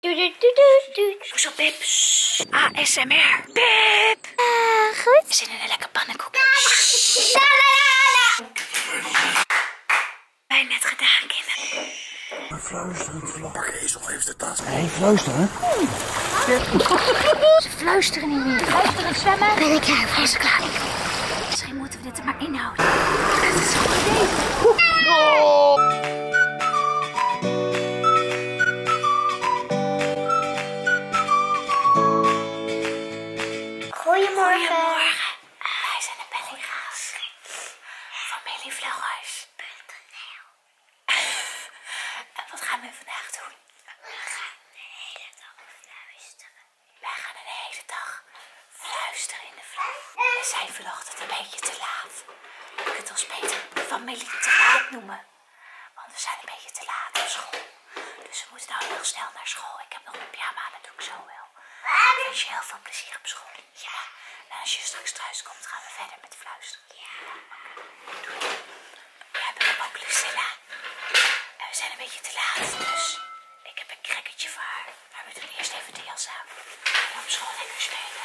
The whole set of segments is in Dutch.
Hoezo Pips? ASMR. Pip! Ah goed. We zitten in een lekker pannenkoek. Wij net gedaan, kinderen. Een fluisterend vlak. Ezel heeft de tas. Nee, fluisteren? Ze fluisteren niet meer. Fluisteren zwemmen. Ben ik klaar? jij klaar? Misschien moeten we dit er maar inhouden. Het is een goed Goedemorgen. Eh, wij zijn de pellingaars. Familievlogers. Ik En wat gaan we vandaag doen? We gaan de hele dag fluisteren. Wij gaan de hele dag fluisteren in de vlog. We zijn vandaag een beetje te laat. Je kunt ons beter familie te laat noemen. Want we zijn een beetje te laat op school. Dus we moeten nou heel snel naar school. Ik heb nog een pyjama, dat doe ik zo wel. Ik wens je heel veel plezier op school. Ja. En als je straks thuis komt, gaan we verder met fluisteren. Ja. We hebben ook Lucilla. we zijn een beetje te laat, dus ik heb een krekketje voor haar. Maar we doen eerst even de jas aan. En op school lekker spelen.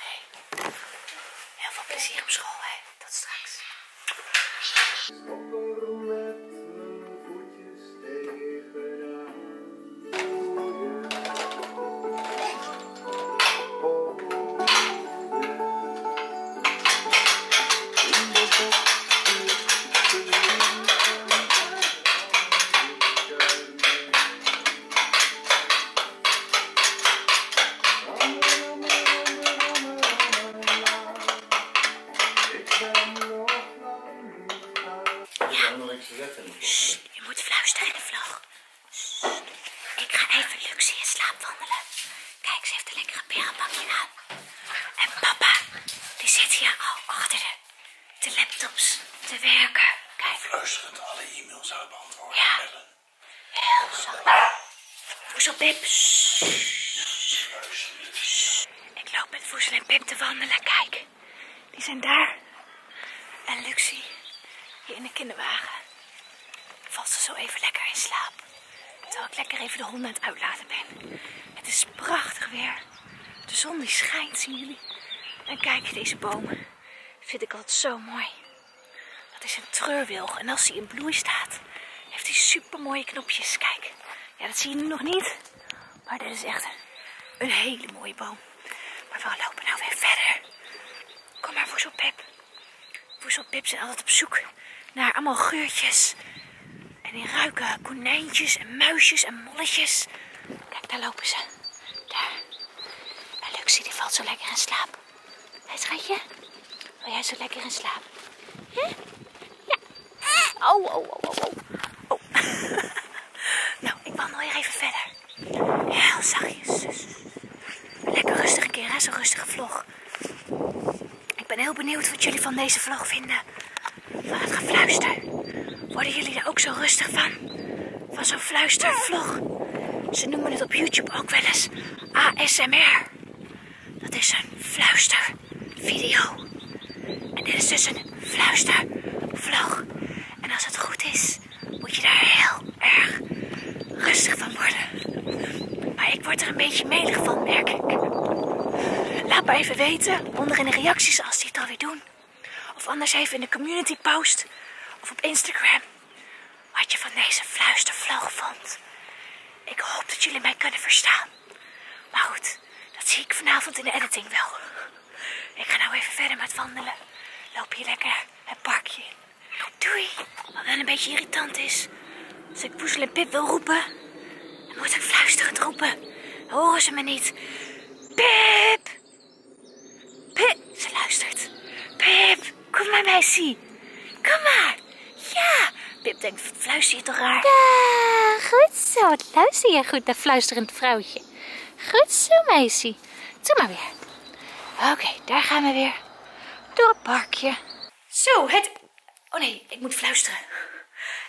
Nee. Heel veel plezier op school, hè. dat straks nog Je moet fluisteren in de vlog. Ik ga even Luxie in slaap wandelen. Kijk, ze heeft een lekkere berenbakje aan. En papa, die zit hier al achter de, laptops te werken. Kijk. Fluisterend alle e-mails uit beantwoorden. Ja. Heel zacht. Ik loop met Voezel en Pip te wandelen. Kijk, die zijn daar. En Luxie, hier in de kinderwagen. Valt ze zo even lekker in slaap. Terwijl ik lekker even de honden aan het uitlaten ben. Het is prachtig weer. De zon die schijnt, zien jullie. En kijk, deze bomen vind ik altijd zo mooi. Dat is een treurwilg. En als hij in bloei staat, heeft hij supermooie knopjes. Kijk, ja, dat zie je nu nog niet. Maar dit is echt een, hele mooie boom. Maar we lopen nou weer verder. Kom maar, Woezelpip. Woezelpip zijn altijd op zoek naar allemaal geurtjes. En die ruiken konijntjes en muisjes en molletjes. Kijk, daar lopen ze. Daar. En Luxie die valt zo lekker in slaap. Hé, schatje. Wil jij zo lekker in slaap? Hè? Ja. Oh, oh, oh, oh, oh. oh. nou, ik wandel weer even verder. Heel zachtjes. Lekker rustig een keer, hè? Zo'n rustige vlog. Ik ben heel benieuwd wat jullie van deze vlog vinden. Van het gefluister. Worden jullie er ook zo rustig van? van zo'n fluistervlog. Ze noemen het op YouTube ook wel eens ASMR. Dat is een fluistervideo. En dit is dus een fluistervlog. En als het goed is, moet je daar heel erg rustig van worden. Maar ik word er een beetje melig van, merk ik. Laat me even weten onder in de reacties als die het alweer doen. Of anders even in de community post of op Instagram wat je van deze fluistervlog vond. Ik hoop dat jullie mij kunnen verstaan. Maar goed, dat zie ik vanavond in de editing wel. Ik ga nou even verder met wandelen. Loop hier lekker het parkje Doei! Wat wel een beetje irritant is. Als ik Poezel en Pip wil roepen, dan moet ik fluisterend roepen. horen ze me niet. Pip! Pip! Ze luistert. Pip! Kom maar, meisje. Kom maar. Ja. Pip denkt, fluister je toch raar? Ja, goed zo. Wat luister je goed naar fluisterend vrouwtje. Goed zo, meisje. Doe maar weer. Oké, daar gaan we weer. Door het parkje. Zo, het... Oh nee, ik moet fluisteren.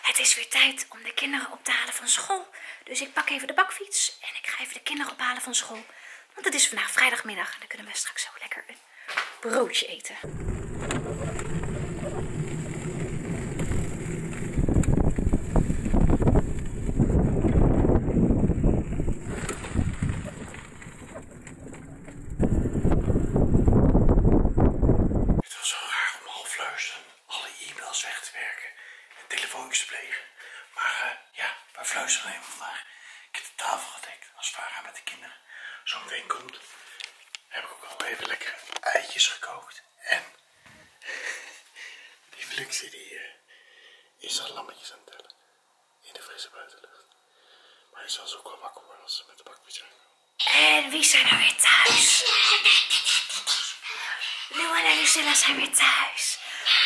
Het is weer tijd om de kinderen op te halen van school. Dus ik pak even de bakfiets en ik ga even de kinderen ophalen van school. Want het is vandaag vrijdagmiddag en dan kunnen we straks zo lekker een broodje eten. Het was zo raar om half luisteren alle e-mails weg te werken en telefoontjes te plegen. Maar eh, ja, is fluisteren even vandaag. Ik heb de tafel gedekt, als Vara met de kinderen. Zo meteen komt, heb ik ook al even lekker eitjes gekookt. En die fluxie die hier is al lammetjes aan het tellen. In de frisse buitenlucht. Maar hij zal ze ook wel wakker worden als ze met de bakpie zijn. En wie zijn er weer thuis? Lou en Lucilla zijn weer thuis.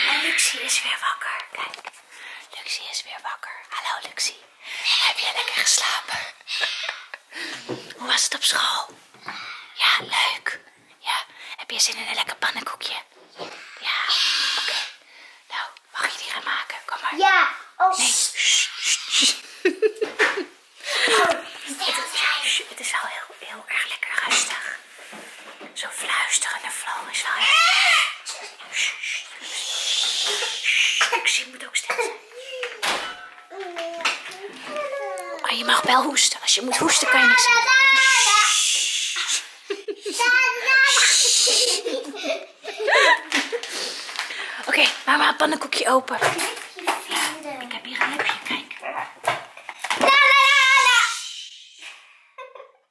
En Luxie is weer wakker. Kijk. Luxie is weer wakker. Hallo Luxie. Heb jij lekker geslapen? Hoe was het op school? Ja, leuk. Ja, heb je zin in een lekker pannenkoekje? Ja, oké. Nou, mag je die gaan maken? Kom maar. Ja. Oh. Nee. Shh, oh. shh. het, is, het al heel, heel erg lekker rustig. Zo fluisteren is Floris Ik zie moet ook steken. Ah je mag wel hoesten. Als je moet hoesten kan je niks doen. Oké, maar mama, pannenkoekje open. ik heb hier een lipje, kijk.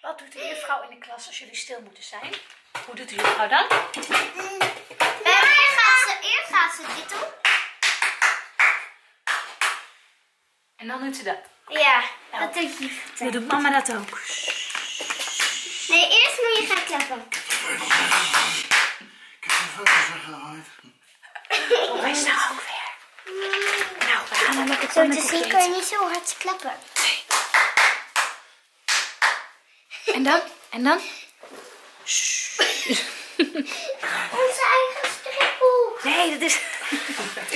wat doet de juffrouw in de klas als jullie stil moeten zijn? Hoe doet de juffrouw dan? Eerst eh, gaat, ze, eerst gaat ze dit doen. En dan doet ze dat. Ja, dat doet je. Dan doet mama dat ook. Nee, eerst moet je gaan klappen. Ik heb mijn foto's weggehaald. Waar is nou ook weer? Nou, we gaan dan lekker Zo te zien kun niet zo hard klappen. En dan? En dan? Onze eigen stripboek. Nee, dat is, het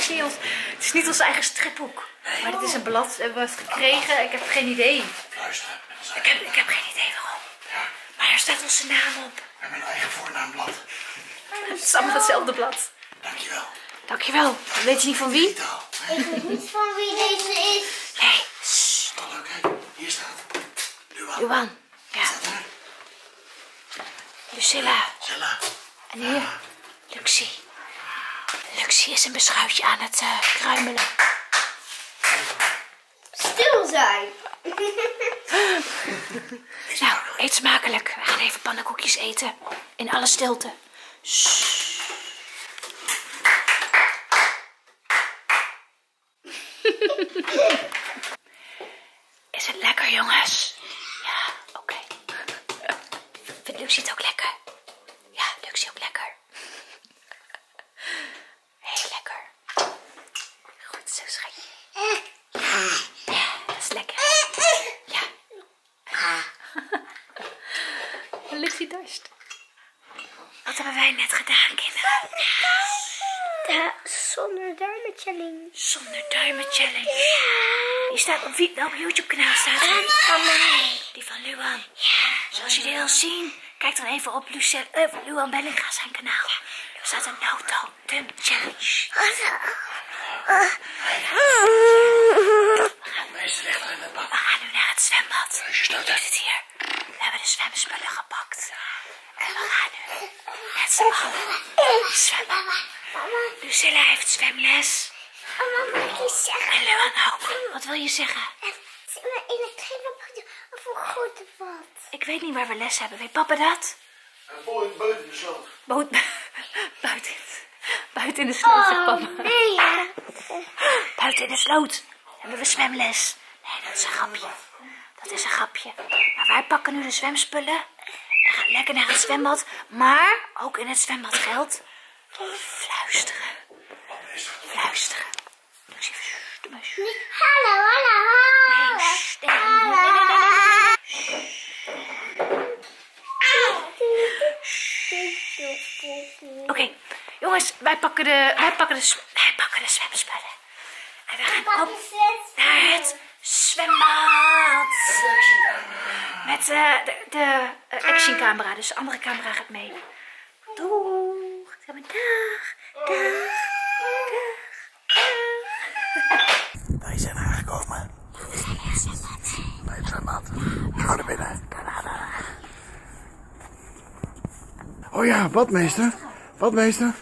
is niet ons eigen stripboek. Maar dit is een blad. Eh, We hebben het gekregen. Ik heb geen idee. Luister. Ik heb, geen idee waarom. Ja. Maar er staat onze naam op. En mijn eigen voornaamblad. Het is allemaal hetzelfde blad. Dankjewel. Dankjewel. weet je niet van wie? Ik weet niet van wie deze is. Nee. Sst, Hier staat Luan. Luan. Ja. Lucilla. En hier, ah. Luxie. Luxie is een beschuitje aan het eh, kruimelen. Stil zijn. nou, nou eet smakelijk. We gaan even pannenkoekjes eten. In alle stilte. Is het lekker, jongens? Ja, oké. Vindt Luxie het ook lekker? Ja, Luxie ook lekker. Heel lekker. Goed zo, schatje. Ja, dat is lekker. Ja, Ah. Lucy dorst. Wat hebben wij net gedaan, kinderen? De zonder duimen challenge. Zonder duimen challenge. Ja. Die staat op op YouTube kanaal staat die? van mij. Die van Luan. Ja. Zoals jullie al zien, kijk dan even op eh, Luan Bellinga zijn kanaal. Ja. Er staat een auto. dumb challenge. Oh, oh. Oh. We gaan, in het We gaan nu naar het zwembad. We hier. We hebben de zwemspullen gepakt. En we gaan nu met z'n allen zwemmen. Lucilla heeft zwemles. Mama, mag ik zeggen? En Leon ook. Wat wil je zeggen? In het kleine of een grote bad. Ik weet niet waar we les hebben. Weet papa dat? Boot buiten de sloot. Boot buiten. Buiten in de sloot, oh, Buiten in de sloot. Hebben we zwemles. Nee, dat is een grapje. Dat is een grapje. Maar wij pakken nu de zwemspullen. En gaan lekker naar het zwembad. Maar ook in het zwembad geldt fluisteren. Fluisteren. Dus even, nee, hallo, hallo, hallo. Nee, Oké, Jongens, wij pakken de, wij pakken de, wij pakken de zwemspullen. En we gaan op naar het zwembad. Met eh, de, de eh, actioncamera, dus de andere camera gaat mee. Doeg. Dag, dag, dag. Wij zijn aangekomen. Bij het zwembad. Bij het we Ga naar binnen. Oh ja, badmeester. Badmeester.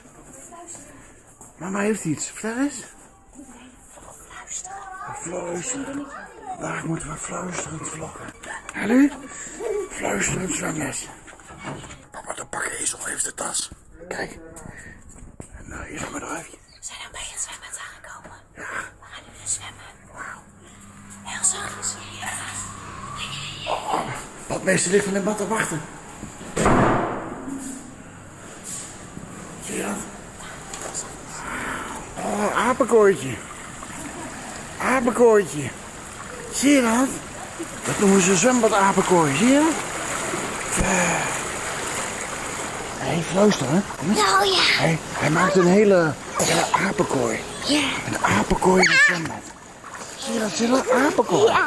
Mama heeft iets. Vertel eens. Fluisteren. Fluisteren. Daar moeten we fluisterend vloggen. Hallo? Fluisterend zwangers. Papa, de of heeft de tas. Kijk. En eh, hier zijn we eruit. We zijn al bij het zwembad aangekomen zwemmen. We gaan nu weer zwemmen. Heel zachtjes. Oh, wat meester ligt van de bad te wachten. Zie je dat? Oh, apenkooitje. Apenkooitje. Zie je dat? Dat noemen ze zwembad apenkooi. Zie je dat? Hé, eh. hey, fluister, Nou ja. Oh hij maakt een hele dat is een apenkooi. Ja. Een apenkooi in de ah. zwembad. een ja.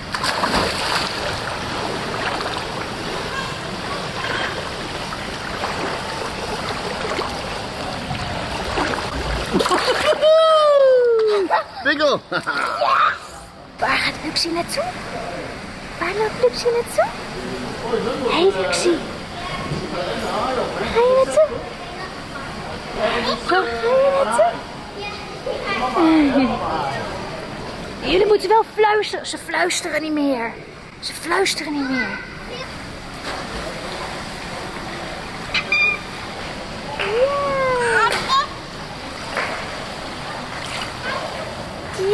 Bigel. Waar gaat Luxie naartoe? Waar loopt Luxie naartoe? hey, Luxie! Waar ga je naartoe? ga je naartoe? Eh, jullie moeten wel fluisteren. Ze fluisteren niet meer. Ze fluisteren niet meer.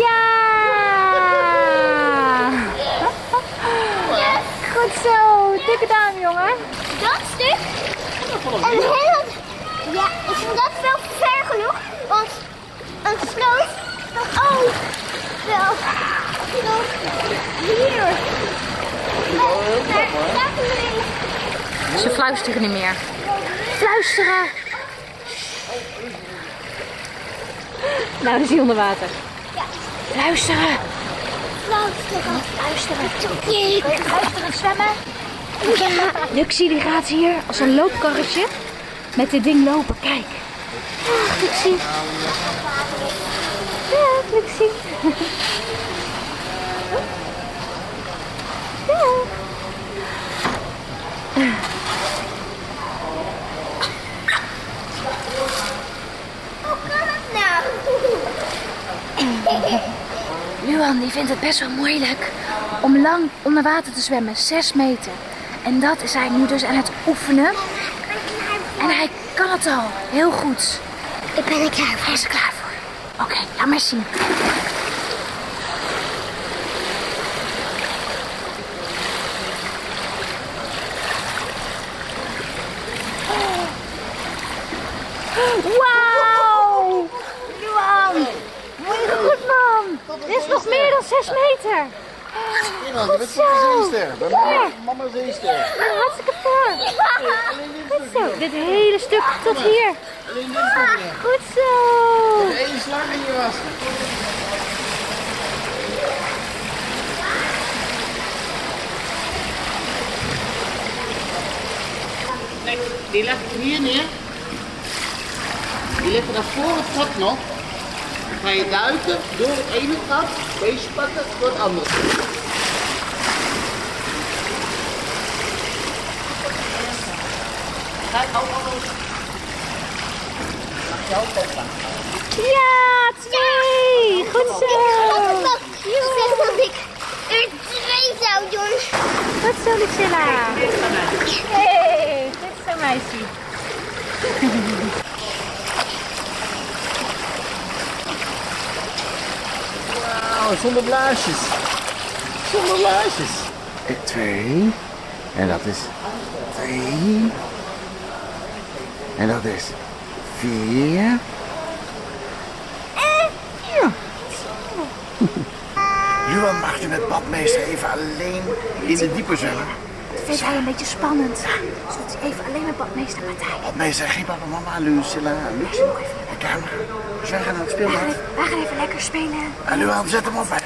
Ja! Goed zo, dikke duim jongen. Dat stuk. En heel ja, ik vind dat wel ver genoeg, want een sloot oh ook wel hier. Oh, daar Ze fluisteren niet meer. Fluisteren! Nou, is hier onder water. Ja. Fluisteren! Fluisteren! Fluisteren! Fluisteren, zwemmen! Ja. Luxie die gaat hier als een loopkarretje met dit ding lopen. Kijk. Ach, Luxie. Ja, Luxie. Ja. Hoe kan het nou? Luan die vindt het best wel moeilijk om lang onder water te zwemmen, 6 meter. En dat is hij nu dus aan het oefenen. En hij kan het al, heel goed. Ik ben er klaar voor. Hij is er klaar voor. Oké, laat maar zien. Wauw! Luan! goed, man. Dit is nog meer dan 6 meter. Iemand, je bent zeester. Bij ja. mama zeester. hartstikke ver. Goed zo. Dit hele stuk tot hier. Alleen dit stukje. Goed zo. Eén slag in je was. Die ik hier neer. Die liggen dan voor het pad nog. Dan ga je duiken door het ene gat, deze pakken door het andere. Kijk, Mag je Ja, twee! Goed zo! zo, Jon. Wat Goed zo, Lucilla. Hey, is zo, meisje. Wauw, zonder blaasjes. Zonder blaasjes. Twee. En dat is twee, En dat is vier. Eh, ja. Juan mag je met badmeester even alleen in de diepe zullen. Dat vindt hij een beetje spannend. Ja. hij even alleen met badmeester Martijn. Badmeester, geen papa, mama, Lucilla, Lucie. De kamer. Dus wij gaan naar het speelbad. Wij, wij gaan even lekker spelen. En ah, Juan, zet hem op. Hè.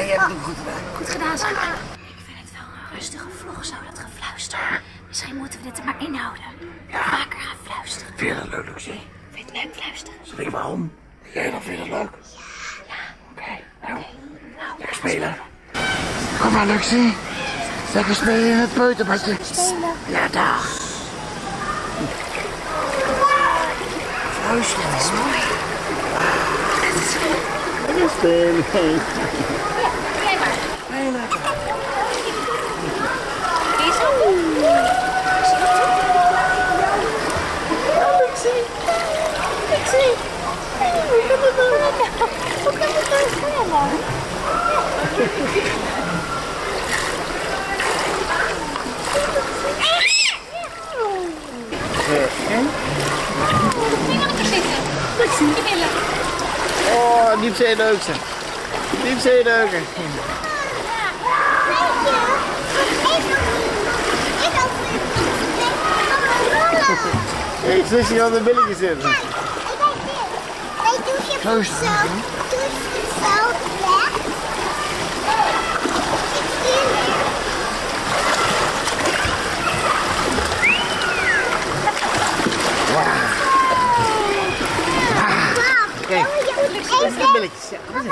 En je hebt oh, het goed gedaan. Goed gedaan, schat. Ik vind het wel een rustige vlog, zo dat gefluister. Misschien moeten we dit er maar inhouden. Ja. Vaker gaan fluisteren. Vind je dat leuk, Lucie? Vind je het leuk fluisteren? Zeg, waarom? Jij dan vindt het leuk? Ja. Oké, nou, nou. Lekker spelen. Kom maar, Luxie. Lekker spelen in het peuterbadje. Ja, dag. Luister, hoor. Lekker Ja, maar. Heel Oh, Hoe kan het Diepzeedeuken. Nou oh, Diepzeedeuken lekker Ik zit je aan de billetjes in. Zo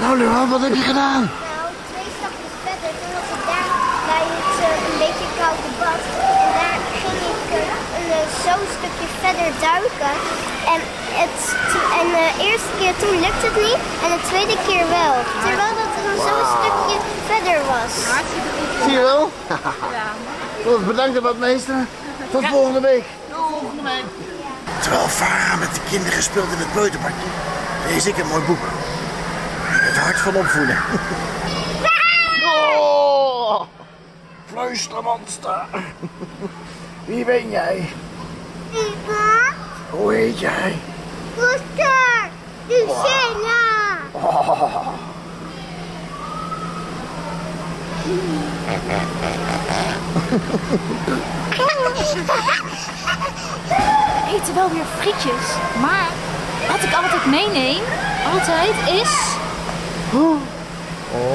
Nou Luan, wat heb je gedaan? Nou, twee stapjes verder. Toen was ik daar bij het eh, een beetje koude bad. En daar ging ik eh, een eh, zo'n stukje verder duiken. En, het, en de eerste keer toen lukte het niet. En de tweede keer wel. Terwijl dat er wow. zo'n stukje verder was. Zie je wel? ja. Bedankt wat meester. Tot volgende week. Tot volgende week. Terwijl Farah met de kinderen gespeeld in het buitenparkje, lees ik een mooi boek. Het hart van opvoeden. Oh, Fluistermonster. Wie ben jij? ben. Hoe heet jij? Monster. Lucella. Oh. We eten wel weer frietjes, maar wat ik altijd meeneem, altijd is... Oh.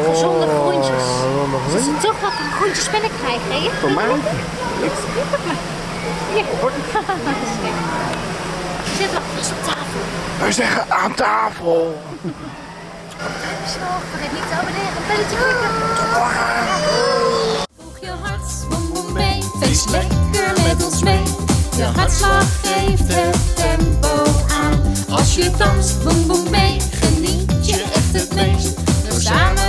Gezonde oh, groentjes. Oh, ze oh, oh, dus toch wat een groentjespinnek krijgen, Voor mij? Ja. Hier. Zit wat vast op tafel. Wij zeggen aan tafel. Stop, vergeet niet te abonneren en belletje klikken. je je hart, boem boem mee. Feest lekker met ons mee. Je hartslag geeft het tempo aan. Als je dans, boem boem mee. Geniet je echt het meest. We samen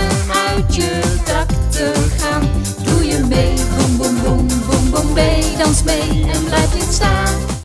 uit je dak te gaan. Doe je mee, boem boem boem boem boem mee. Dans mee en blijf niet staan.